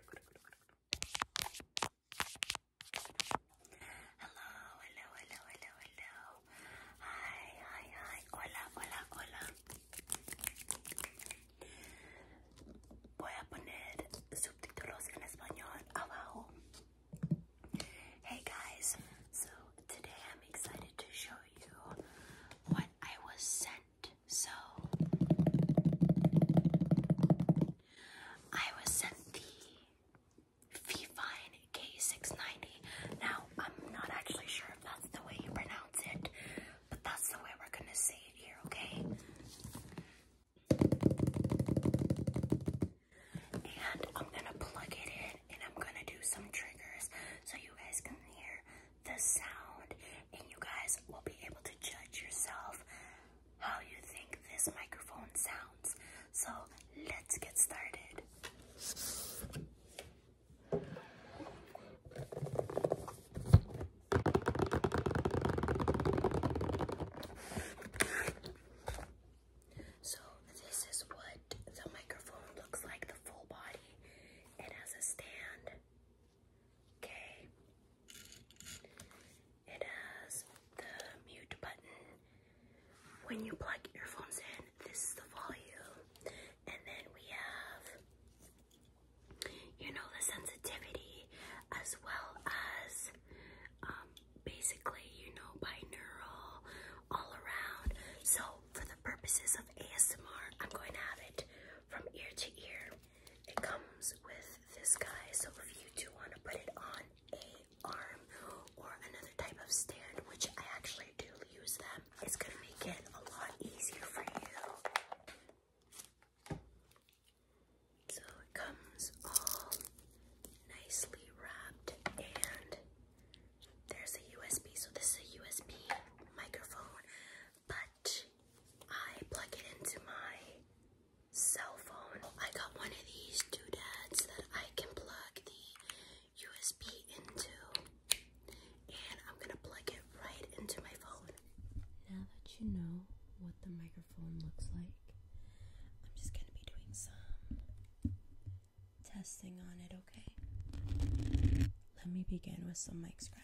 hello, hello, hello, hello. Hi, hi, hi. Hola, hola, hola. Voy a poner subtítulos en español abajo. Hey guys, so today I'm excited to show you what I was sent so I was sent the fee fine K690. Now, I'm not actually sure if that's the way you pronounce it, but that's the way we're gonna say it here, okay? And I'm gonna plug it in and I'm gonna do some triggers so you guys can hear the sound and you guys will be able to judge yourself how you think this microphone sounds. So let's get started. So, this is what the microphone looks like the full body. It has a stand, Okay. It has the mute button. When you plug earphones in, this is the volume. And then we have, you know, the sensitivity as well as um, basically, you know, binaural all around. So, for the purposes of ASMR, I'm going to have it from ear to ear. It comes with this guy, so if you do want to put it on a arm or another type of stand, which I actually do use them, it's gonna make it a lot easier for you. So it comes all nicely wrapped, and there's a USB. So this is a USB microphone, but I plug it into my cell phone. I got one of these doodads that I can plug the USB into, and I'm gonna plug it right into my phone. Now that you know what the microphone looks like, I'm just gonna be doing some testing on it, okay? Let me begin with some mic scratching.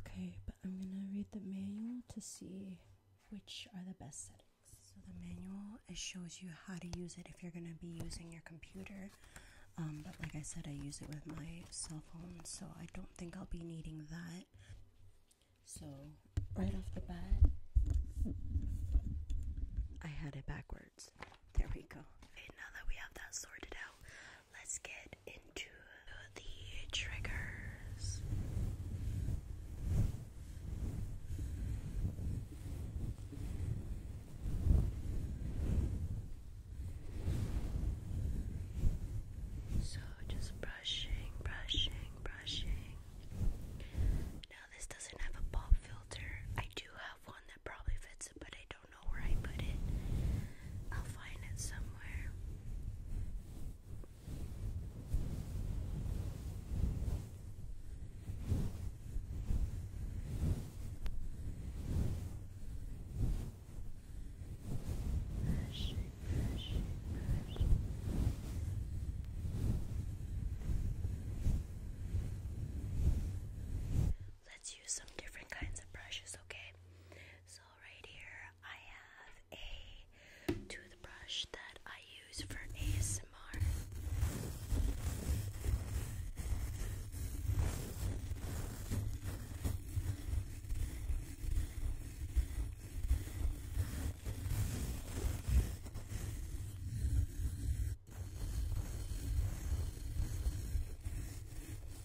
Okay, but I'm gonna read the manual to see which are the best settings. So the manual it shows you how to use it if you're gonna be using your computer. Um, but like I said, I use it with my cell phone, so I don't think I'll be needing that. So right off the bat, I had it backwards. There we go. now that we have that sorted out, let's get into the triggers. So just brushing, brushing, brushing. Now, this doesn't have a pop filter. I do have one that probably fits but I don't don't know where I put it. I'll find it somewhere. Brush brush brush Let's use some different kinds of brushes, okay? right here I have a toothbrush that I use for ASMR.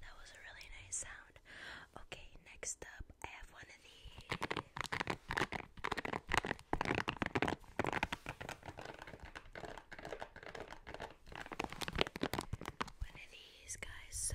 That was a really nice sound. Okay, next up, I have one of these. One of these guys, so.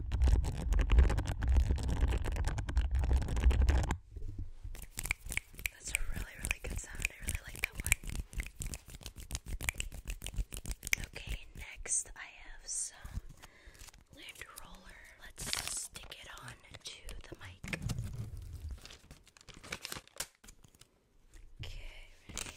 That's a really, really good sound. I really like that one. Okay, next I have some lint roller. Let's stick it on to the mic. Okay, ready?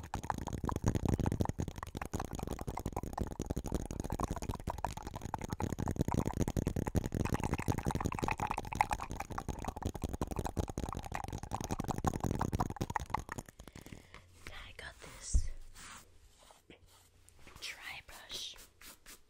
Then I got this dry brush. Okay.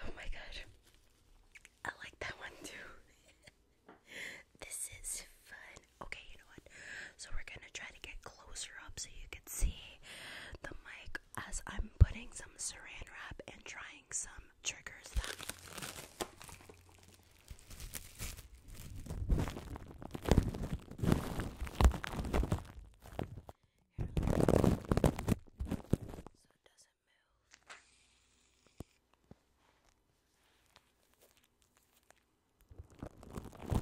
Oh my god. I like that one too. this is fun. Okay, you know what? So we're gonna try to get closer up so you can see the mic as I'm putting some saran wrap and trying some triggers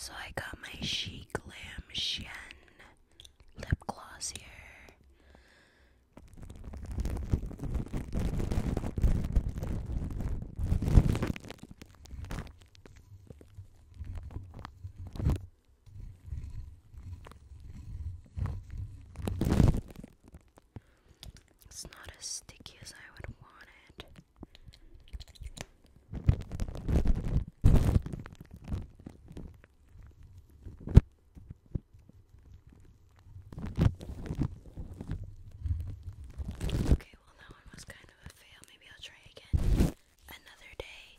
So I got my Chic glam Shen lip gloss here. It's not as sticky as I would want it. Okay, well, that one was kind of a fail. Maybe I'll try again another day.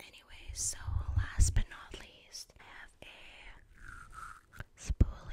Anyway, so last but not least, I have a spoolie.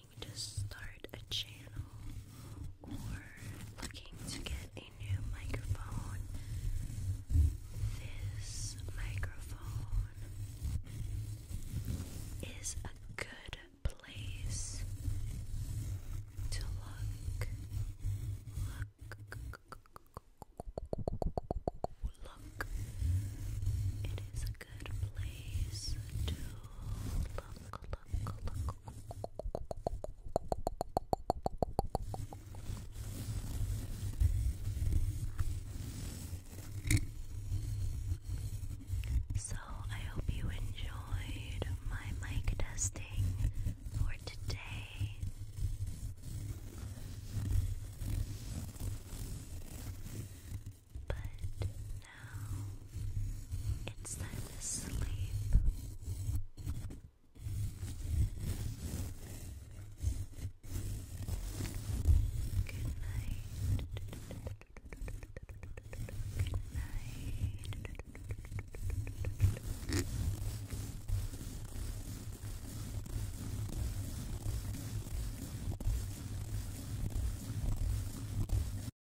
looking to start a channel or looking to get a new microphone, this microphone is a good place to look. Look. Look. It is a good place to Look. So, I hope you enjoyed my mic testing for today. But it's time to sleep. Good night. Good night.